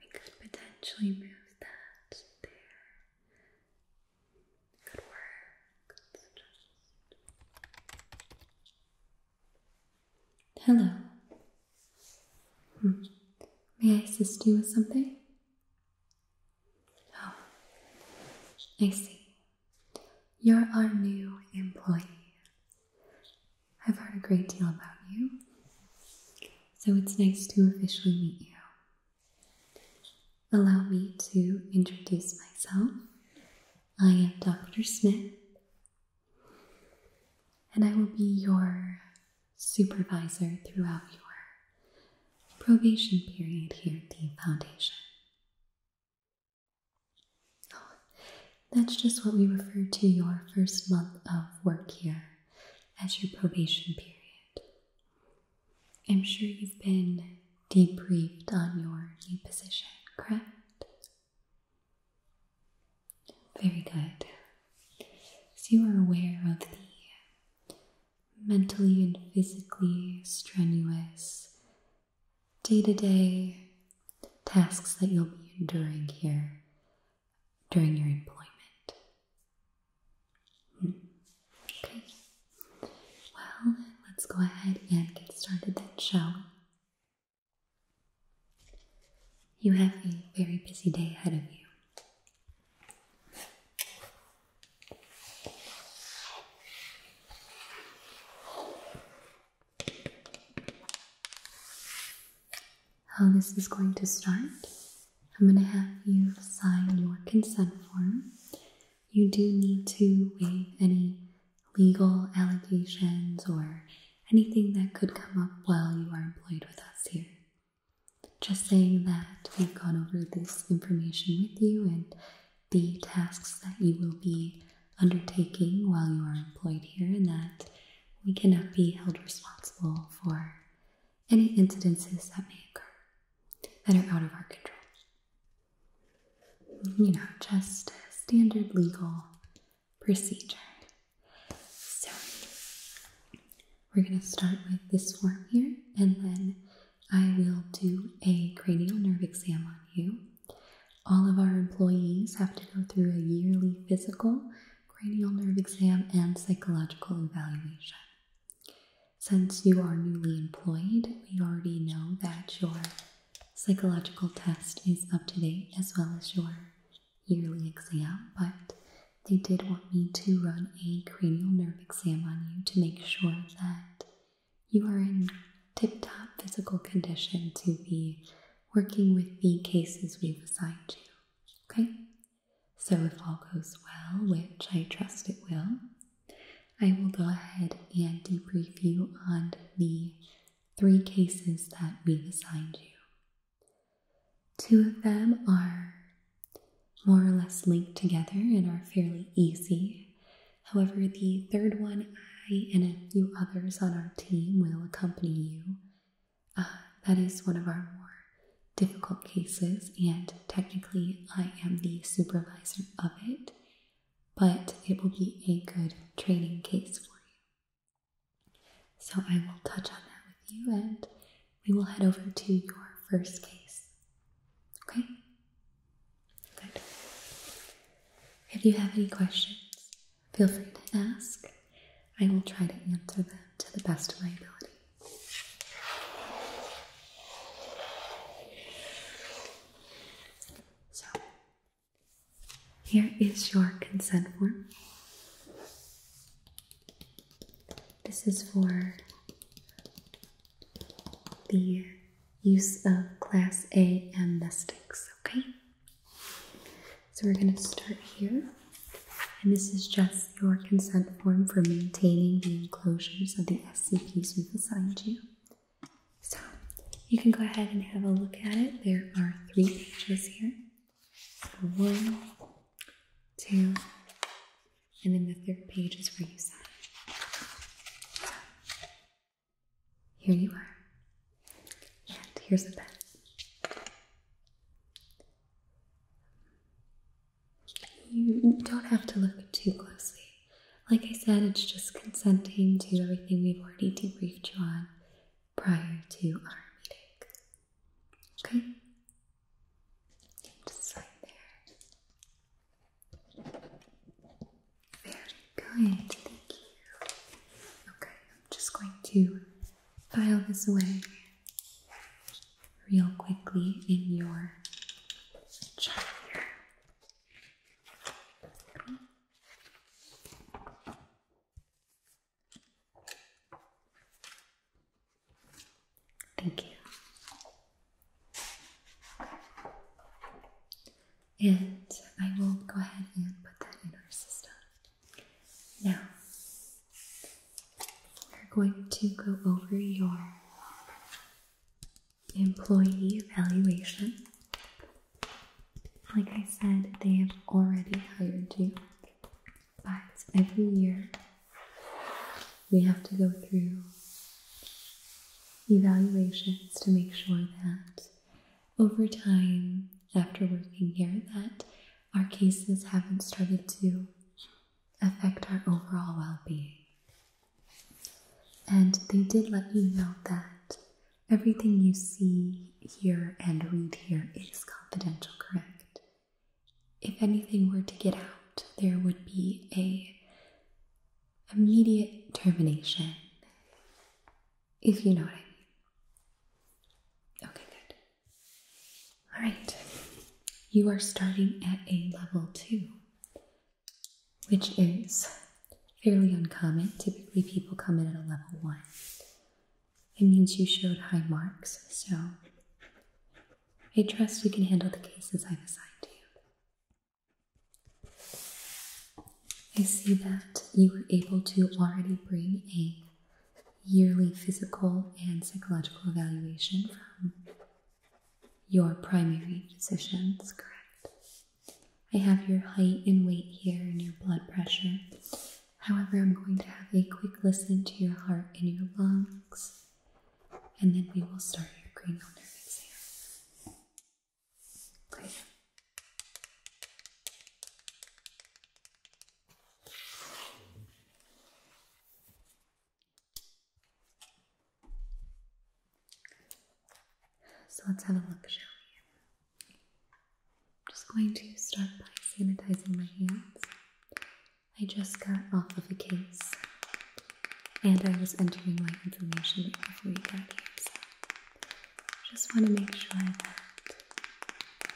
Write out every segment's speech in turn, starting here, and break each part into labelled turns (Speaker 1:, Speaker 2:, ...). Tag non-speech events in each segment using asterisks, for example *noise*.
Speaker 1: We could potentially move that there. Good work. Hello. Hmm. May I assist you with something? Oh, I see. You're our new employee. I've heard a great deal about you, so it's nice to officially meet you. Allow me to introduce myself. I am Dr. Smith, and I will be your supervisor throughout your probation period here at the Foundation. that's just what we refer to your first month of work here as your probation period. I'm sure you've been debriefed on your new position, correct? Very good. So you are aware of the mentally and physically strenuous day to day tasks that you'll be enduring here during your employment. Hmm. Okay. Well, let's go ahead and get started then, shall You have a very busy day ahead of you how this is going to start. I'm going to have you sign your consent form. You do need to waive any legal allegations or anything that could come up while you are employed with us here. Just saying that we've gone over this information with you and the tasks that you will be undertaking while you are employed here, and that we cannot be held responsible for any incidences that may occur that are out of our control. You know, just standard legal procedure. So, we're going to start with this form here, and then I will do a cranial nerve exam on you. All of our employees have to go through a yearly physical cranial nerve exam, and psychological evaluation. Since you are newly employed, we already know that your psychological test is up to date as well as your yearly exam, but they did want me to run a cranial nerve exam on you to make sure that you are in tip top physical condition to be working with the cases we've assigned you. Okay? So, if all goes well, which I trust it will, I will go ahead and debrief you on the three cases that we've assigned you. Two of them are more or less linked together and are fairly easy. However, the third one, I and a few others on our team will accompany you uh, that is one of our more difficult cases, and technically, I am the supervisor of it, but it will be a good training case for you. So, I will touch on that with you, and we will head over to your first case. Okay? Good. If you have any questions, feel free to ask. I will try to answer them to the best of my ability. So, here is your consent form. This is for the use of Class A amnestics, okay? So we're going to start here. And this is just your consent form for maintaining the enclosures of the SCPs we've assigned you. So you can go ahead and have a look at it. There are three pages here. So one, two, and then the third page is where you sign. here you are. And here's the pen. You don't have to look too closely. Like I said, it's just consenting to everything we've already debriefed you on prior to our meeting. Okay? Just right there. Very good, thank you. Okay, I'm just going to file this away real quickly in your chart here. Thank you. And I will go ahead and put that in our system. Now, we're going to go over your employee evaluation. Like I said, they have already hired you, but every year we have to go through evaluations to make sure that over time after working here that our cases haven't started to affect our overall well being. And they did let you know that everything you see, hear, and read here is confidential, correct? If anything were to get out, there would be a immediate termination, if you know what I mean. Okay, good. All right, you are starting at a level two, which is fairly uncommon. Typically, people come in at a level one. It means you showed high marks, so I trust you can handle the cases I've assigned you. I see that you were able to already bring a yearly physical and psychological evaluation from your primary physicians, correct? I have your height and weight here and your blood pressure. However, I'm going to have a quick listen to your heart and your lungs, and then we will start your cranial nerve exam. Okay. So let's have a look, shall we? I'm just going to start by sanitizing my hands. I just got off of a case and I was entering my information before we got here, so just want to make sure that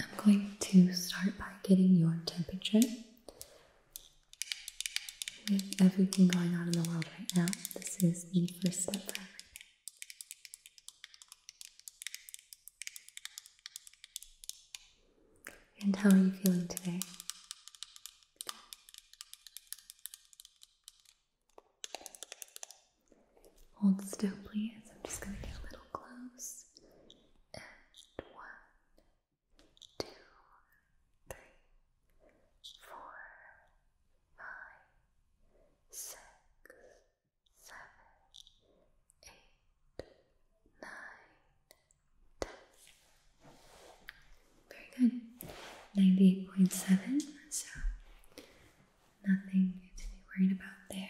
Speaker 1: I'm going to start by getting your temperature. With everything going on in the world right now, this is the first step And how are you feeling today? Hold still, please. I'm just going to get a little close one, two, three, four, five, six, seven, eight, nine, ten. Very good. Ninety-eight point seven. So nothing to be worried about there.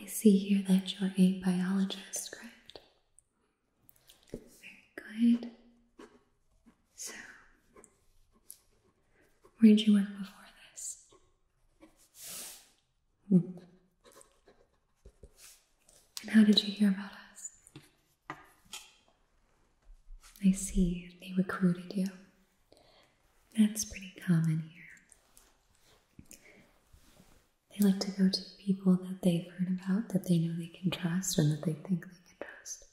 Speaker 1: I see here that you're a biologist, correct? Very good. So, where did you work before this? Hmm. And how did you hear about us? I see they recruited you. That's pretty common here. They like to go to people that they've heard about, that they know they can trust, and that they think they can trust.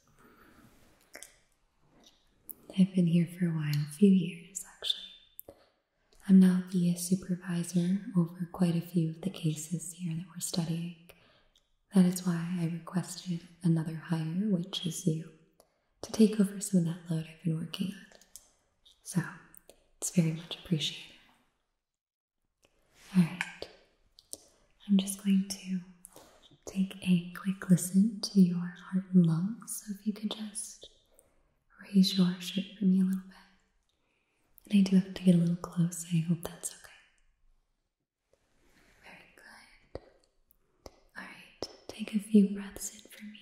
Speaker 1: I've been here for a while, a few years actually. I'm now the supervisor over quite a few of the cases here that we're studying, that is why I requested another hire, which is you, to take over some of that load I've been working on. So, it's very much appreciated. Alright, I'm just going to take a quick listen to your heart and lungs, so if you could just raise your shirt for me a little bit. And I do have to get a little close, I hope that's okay. Very good. Alright, take a few breaths in for me.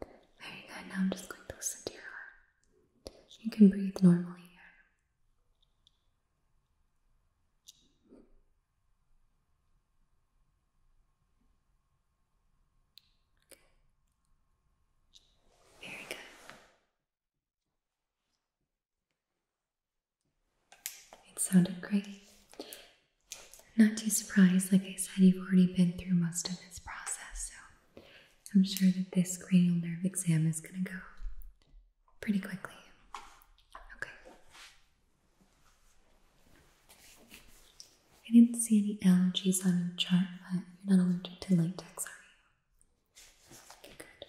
Speaker 1: Very good. Now I'm just going to listen to your heart. You can breathe normally here. Very good. It sounded great. Not too surprised, like I said, you've already been through most of this process, so I'm sure that this cranial nerve exam is going to go pretty quickly. Okay. I didn't see any allergies on your chart, but you're not allergic to latex, are you? Okay, good.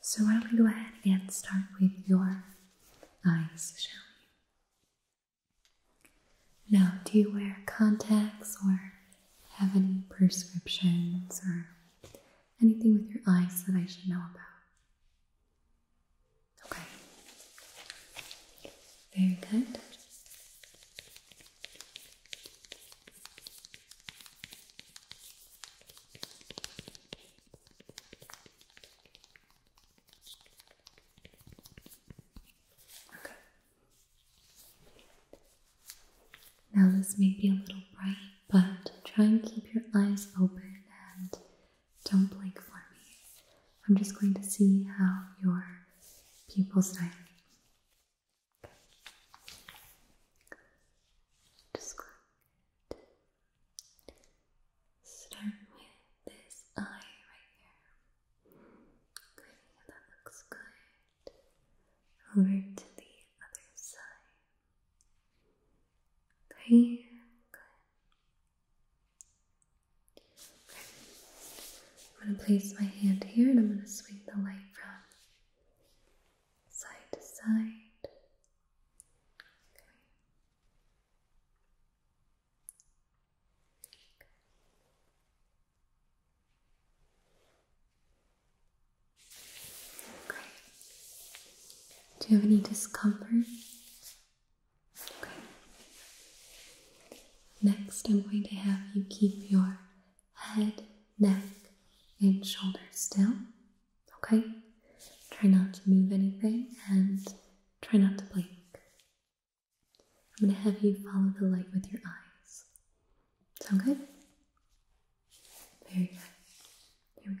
Speaker 1: So, why don't we go ahead and start with your eyes, shall we? Now, do you wear contacts or have any prescriptions or anything with your eyes that I should know about? Okay. Very good. Now, this may be a little bright, but try and keep your eyes open and don't blink for me. I'm just going to see how your pupils dilate. Just going to start with this eye right here. Okay, that looks good. Over to the other side. Okay, Okay. I'm going to place my hand here and I'm going to swing the light from side to side. Okay. Do you have any discomfort? Okay. Next, I'm going to have you keep your head, neck, and shoulders still. Okay? Try not to move anything and try not to blink. I'm going to have you follow the light with your eyes. Sound good? Very good. Here we go.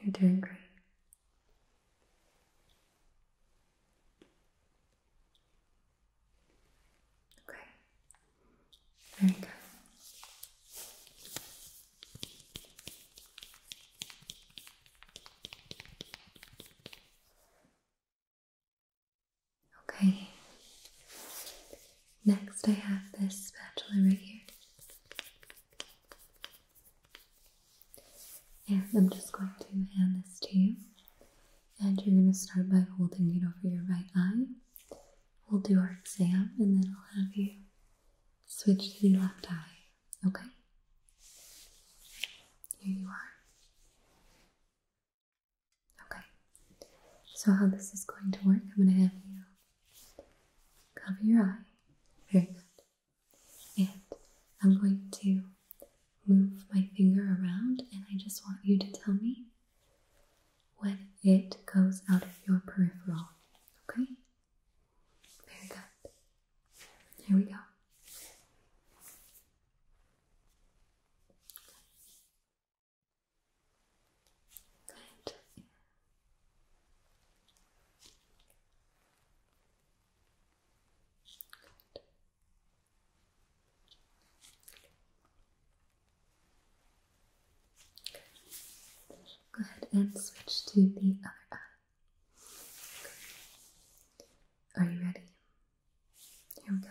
Speaker 1: You're doing great. Okay. Very good. Okay. Next, I have this spatula right here. And I'm just going to hand this to you. And you're going to start by holding it over your right eye. We'll do our exam and then I'll have you switch to the left eye. Okay? Here you are. Okay, so how this is going to work, I'm going to have you cover your eye. Very good. And I'm going to move my finger around, and I just want you to tell me when it goes out of your peripheral. Okay? Very good. Here we go. Go ahead and switch to the other eye. Are you ready? Here we go.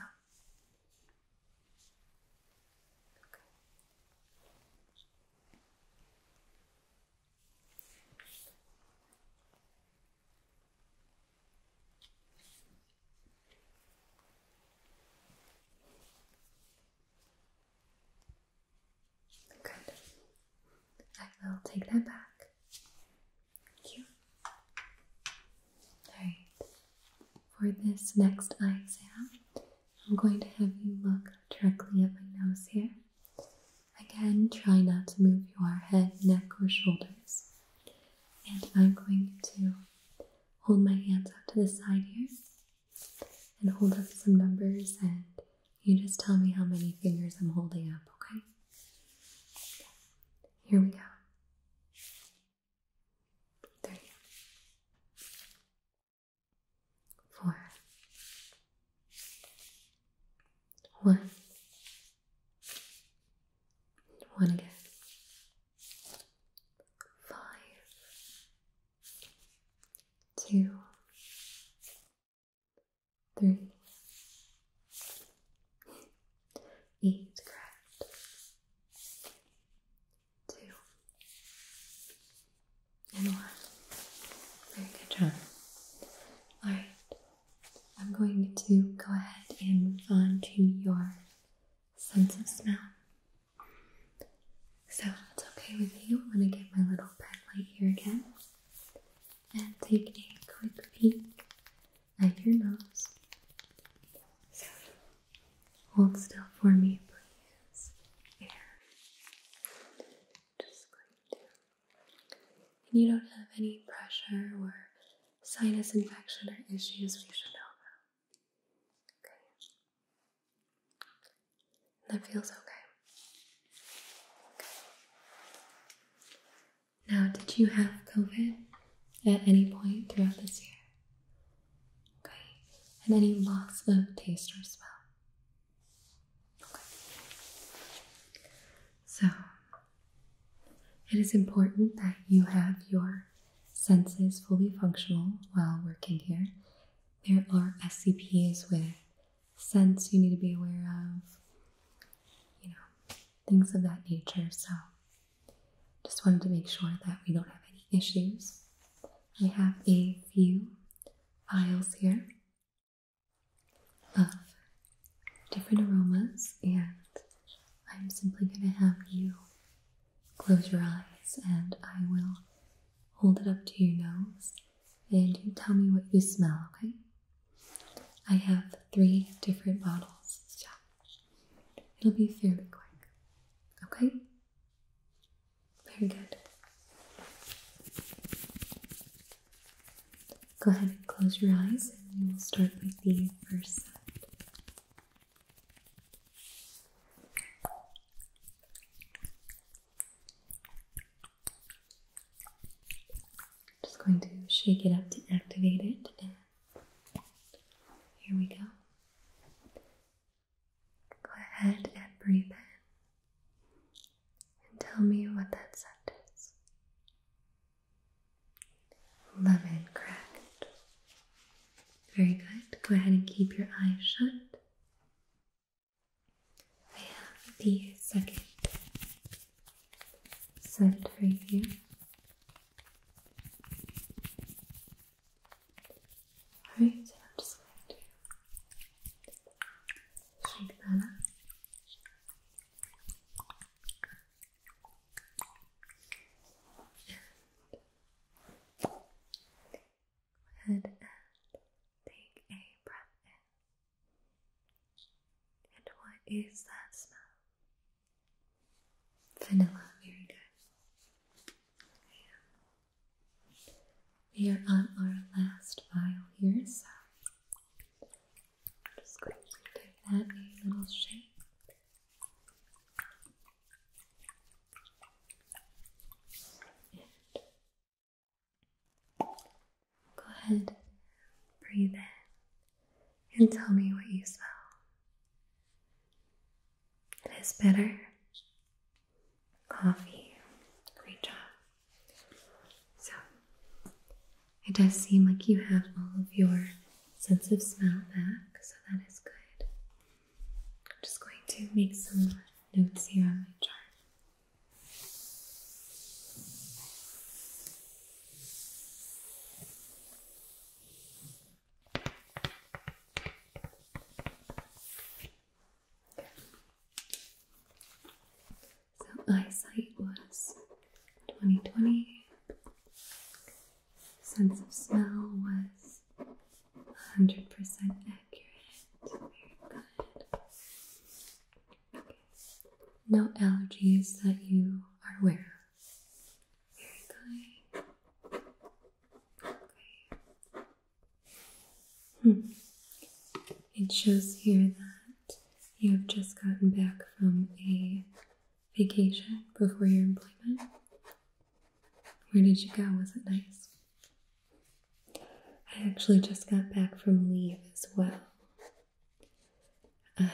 Speaker 1: Okay. I will take that back. Thank you. Alright. For this next exam, I'm going to have you look directly at my nose here. Again, try not to move your head, neck, or shoulders. And I'm going to hold my hands out to the side here and hold up some numbers, and you just tell me how many fingers I'm holding up, okay? Here we go. There four, one, one again, Two. Three. five, two, three, eight, correct, two, and one. Very good job. Alright, I'm going to go ahead and move on to your sense of smell. So, if it's okay with you, I'm going to get my little pad light here again and take a quick peek at your nose. Hold still for me, please. Just going to. And you don't have any pressure or sinus infection or issues we should know about. Okay. That feels okay. okay. Now, did you have COVID at any point throughout this year? Okay, and any loss of taste or smell. Okay. So, it is important that you have your senses fully functional while working here. There are SCPs with scents you need to be aware of, you know, things of that nature. So, just wanted to make sure that we don't have any issues I have a few files here of different aromas, and I'm simply going to have you close your eyes and I will hold it up to your nose and you tell me what you smell, okay? I have three different bottles, it'll be fairly quick, okay? Very good. Go ahead and close your eyes and we will start with the first side. Just going to shake it up to activate it and here we go. Go ahead and breathe in and tell me what that scent is. Lemon cracked. Very good. Go ahead and keep your eyes shut. I have the second scent for you. Alright, I'm just going to shake that up. And go ahead and take a breath in. And what is that smell? Vanilla, very good. We are on our last file here, so I'm just going to take that little shake. go ahead, breathe in, and tell me what you smell. It is bitter coffee. Great job. So, it does seem like you have all of your sense of smell back, so that is good. I'm just going to make some notes here on my chart. Okay. So eyesight was 2020. Sense of smell was 100% accurate. Very good. Okay. No allergies that you are aware of. Very good. It shows here that you have just gotten back from a vacation before your employment. Where did you go? Was it nice? I actually just got back from leave as well. Uh,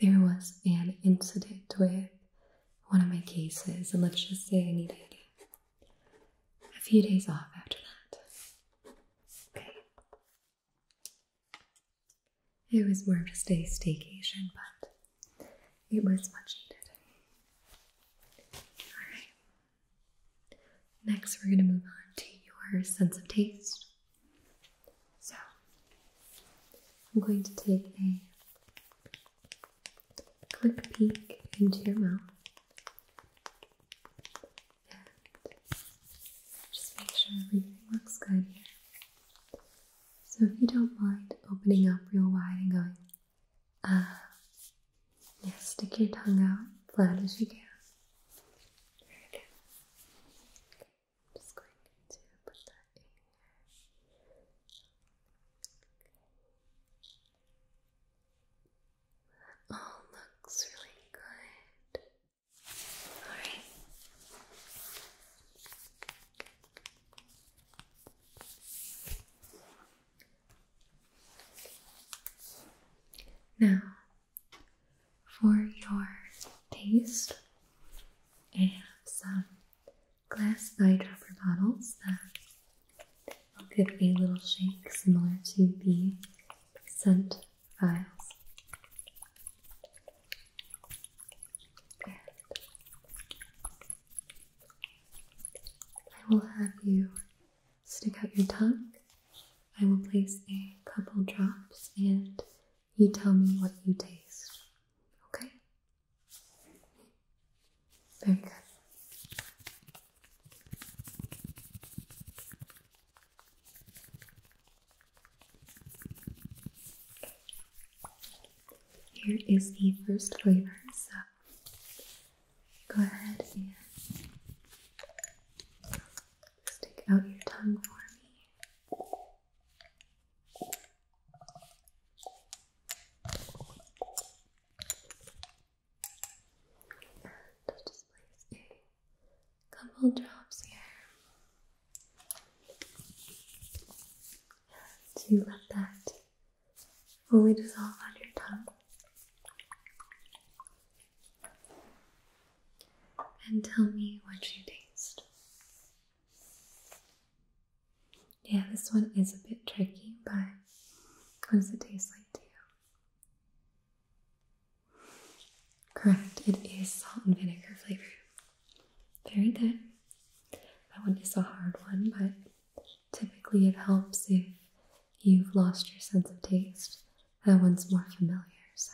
Speaker 1: there was an incident with one of my cases, and let's just say I needed a few days off after that. Okay. It was more of just a staycation, but it was much needed. Alright. Next, we're going to move on to your sense of taste. So, I'm going to take a quick peek into your mouth. And just make sure everything looks good So if you don't mind opening up real wide and going, ah, uh, yeah, stick your tongue out as flat as you can. Very good. Okay, just going to put that in all oh, looks really good. Alright. Now, for your taste, I have some glass eyedropper bottles that I'll give a little shake similar to the scent vials. And I will have you stick out your tongue. I will place a couple drops and you tell me what you taste. Okay? Here is the first flavor, so go ahead and stick out your tongue for me just place a couple drops here. Do you let that fully dissolve on your tongue. And tell me what you taste. Yeah, this one is a bit tricky, but what does it taste like to you? Correct, it is salt and vinegar flavor. Very good. That one is a hard one, but typically it helps if you've lost your sense of taste. That one's more familiar, so.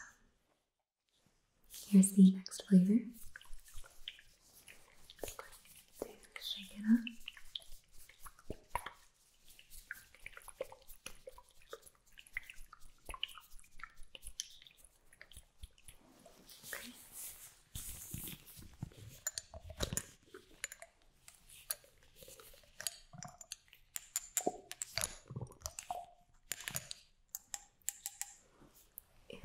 Speaker 1: Here's the next flavor. Shake it up. Okay. And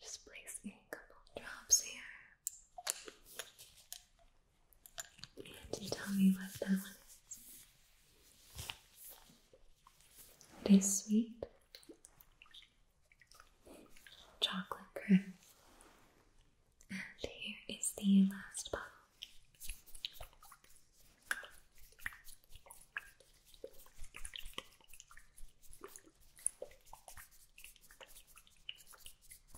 Speaker 1: just placing a couple drops here. Can you tell me what that one is? It is sweet chocolate cream. And here is the last bottle.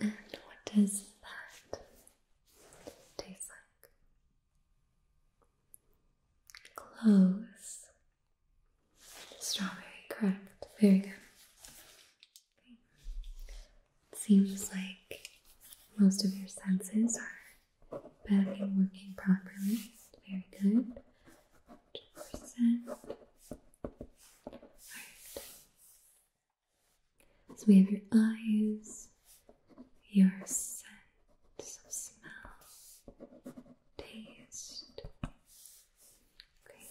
Speaker 1: And what does that taste like? Close. Strawberry, correct. Very good. It seems like most of your senses are back and working properly. Very good. So we have your eyes, your sense of smell, taste. Great.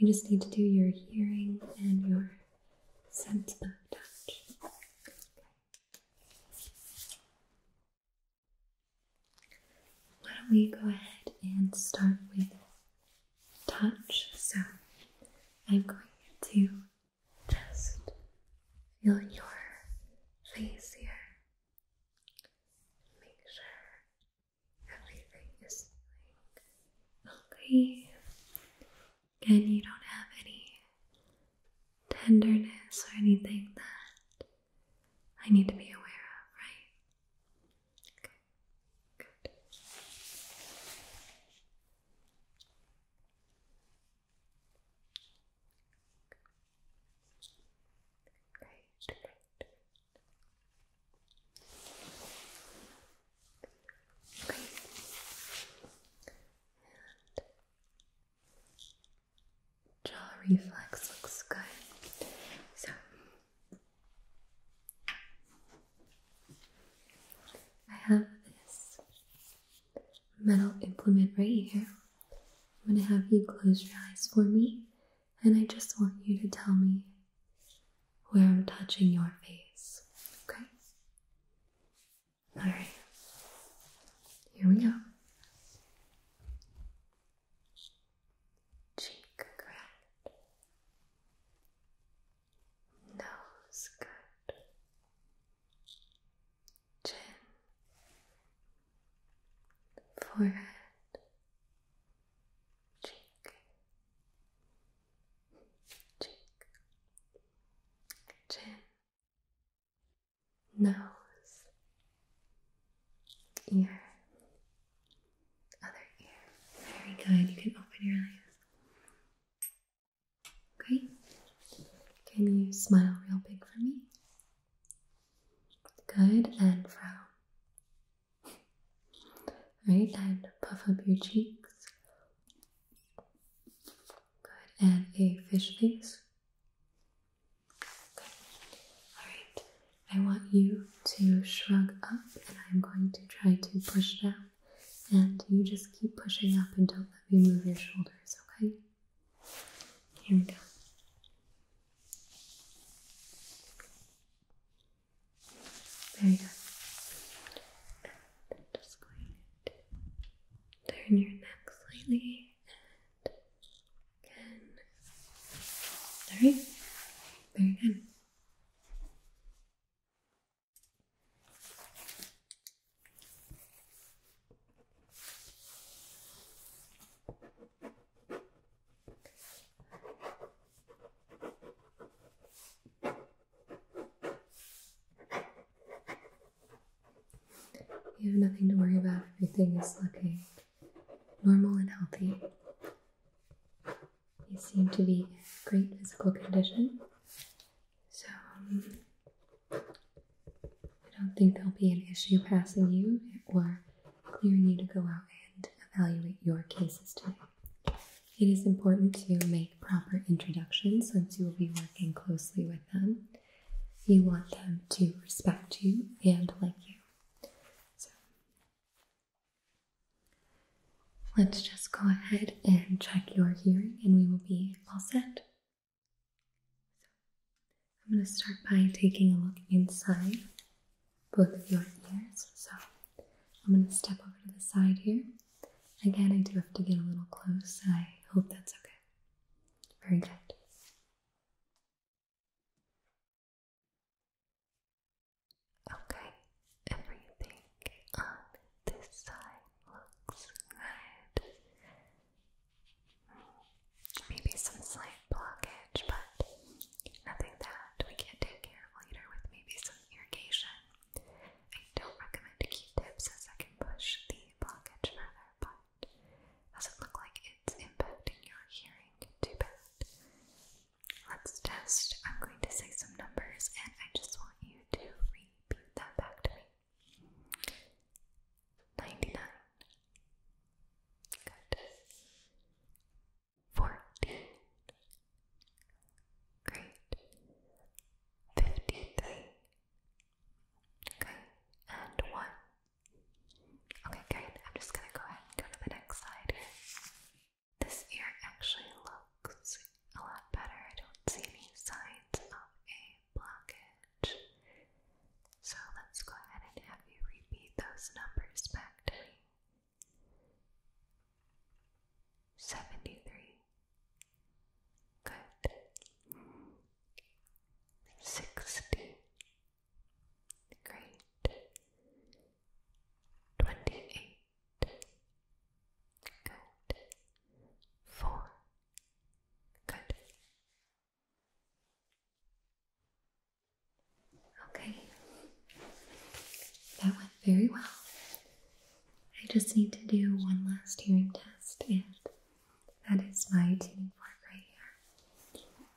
Speaker 1: We just need to do your hearing and your sense of touch. Why don't we go ahead and start with touch? So I'm going to just feel your face here. Make sure everything is okay. Again, you don't have any tenderness or anything that I need to be aware of, right? Okay, good. Great, great. Great jaw reflex looks good. So I have this metal implement right here. I'm gonna have you close your eyes for me, and I just want you to tell me where I'm touching your face. Okay? Alright. Here we go cheek ground, nose good, chin, forehead, cheek, cheek, chin, nose, ear, other ear. Very good. You can open your eyes. Okay. Can you smile real big for me? Good and frown. *laughs* Right, and puff up your cheeks. Good, and a fish face. Good. Alright, I want you to shrug up and I'm going to try to push down. And you just keep pushing up and don't let me move your shoulders, okay? Here we go. Very good. And I'm just going to turn your neck slightly Good. there Very go. You have nothing to worry about. Everything is looking normal and healthy. You seem to be in great physical condition, so um, I don't think there'll be an issue passing you or clearing you to go out and evaluate your cases today. It is important to make proper introductions since you will be working closely with them. You want them to respect you and like you. So let's just go ahead and check your hearing, and we will be all set. I'm going to start by taking a look inside both of your ears. So I'm going to step over to the side here. Again, I do have to get a little close. I hope that's okay. Very good. Okay, everything on this side looks good. Maybe some slight blockage, but nothing that we can take care of later with maybe some irrigation. I don't recommend Q-tips as I can push the blockage further, but doesn't look like it's impacting your hearing too bad. Let's test. I'm going to say some numbers and I just want you to repeat that back to me. 99. Good. 14. Great. 53. Okay, and 1. Okay, great. I'm just gonna go ahead and go to the next slide. This ear actually looks a lot better. I don't see any signs of a blockage. So let's go ahead and have you repeat those numbers back to me. 73. Good. 60. Great. Twenty-eight. Good. Four. Good. Okay. That went very well. I just need to do one last hearing test, and that is my tuning fork right here.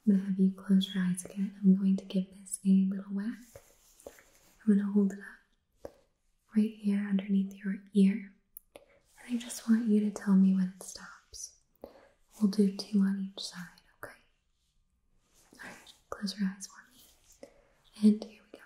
Speaker 1: I'm gonna have you close your eyes again. I'm going to give this a little whack. I'm gonna hold it up right here underneath your ear. And I just want you to tell me when it stops. We'll do two on each side, okay? Alright, close your eyes for me. And here we go.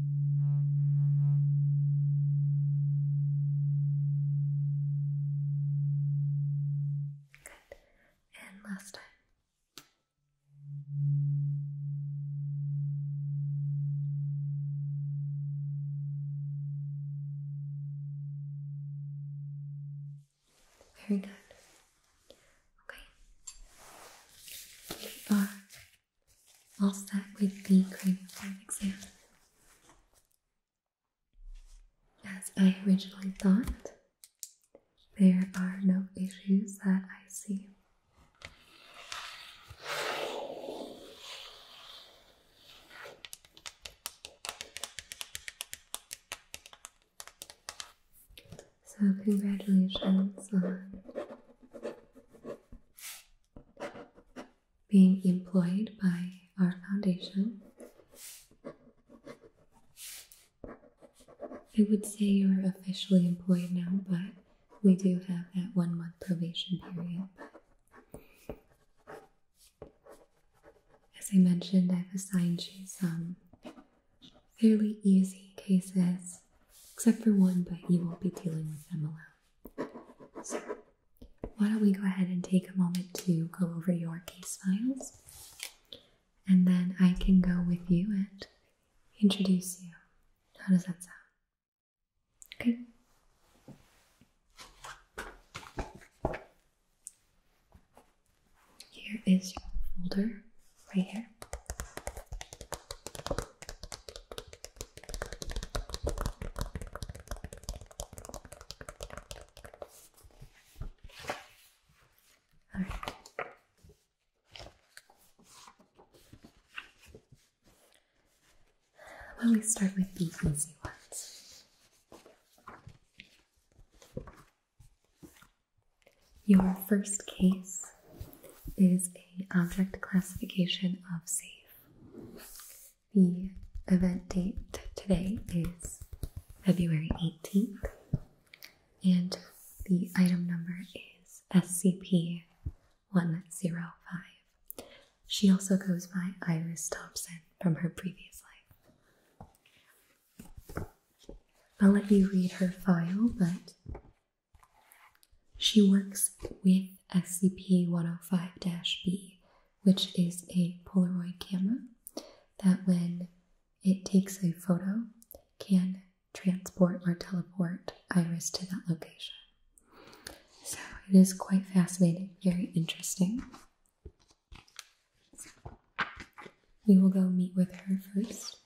Speaker 1: Good. And last time. Very good. Okay. We are I'll start with the cranial form exam. As I originally thought, there are no issues that I see. So, congratulations being employed by our foundation. I would say you're officially employed now, but we do have that one month probation period. As I mentioned, I've assigned you some fairly easy cases, except for one, but you won't be dealing with them alone why don't we go ahead and take a moment to go over your case files, and then I can go with you and introduce you. How does that sound? Okay. Here is your folder right here. Let me start with the easy ones. Your first case is a object classification of safe. The event date today is February 18th, and the item number is SCP 105. She also goes by Iris Thompson from her previous life. I'll let you read her file, but she works with SCP-105-B, which is a Polaroid camera that when it takes a photo can transport or teleport Iris to that location. So it is quite fascinating, very interesting. We will go meet with her first.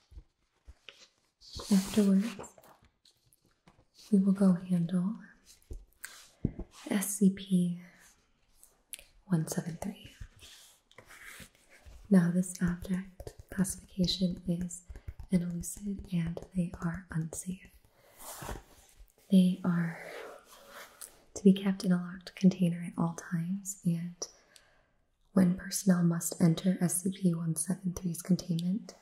Speaker 1: Afterwards, we will go handle SCP 173. Now, this object classification is an and they are unsafe. They are to be kept in a locked container at all times, and when personnel must enter SCP 173's containment,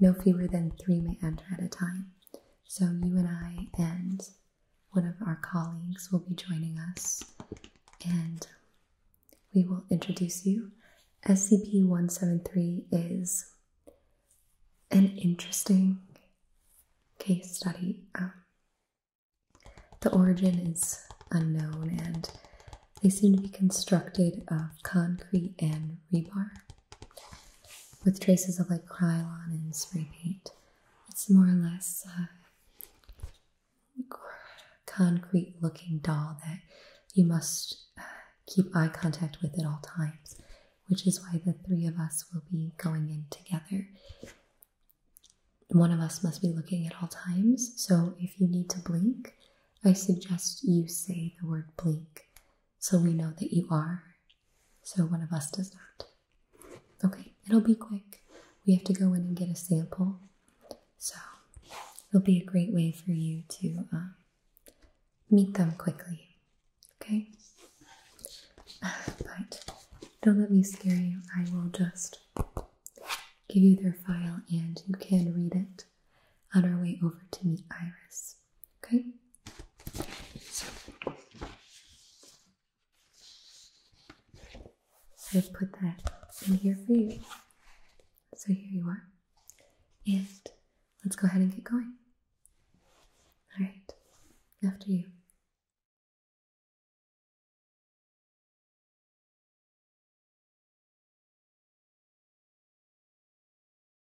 Speaker 1: no fewer than three may enter at a time. So, you and I and one of our colleagues will be joining us, and we will introduce you. SCP 173 is an interesting case study. Um, the origin is unknown, and they seem to be constructed of concrete and rebar with traces of like Krylon and spray paint. It's more or less a concrete looking doll that you must uh, keep eye contact with at all times, which is why the three of us will be going in together. One of us must be looking at all times, so if you need to blink, I suggest you say the word blink so we know that you are. So one of us does not. Okay, it'll be quick. We have to go in and get a sample. So it'll be a great way for you to um, meet them quickly. Okay? *sighs* But don't let me scare you. I will just give you their file and you can read it on our way over to meet Iris. Okay. So i put that in here for you. So here you are. And let's go ahead and get going. Alright, after you.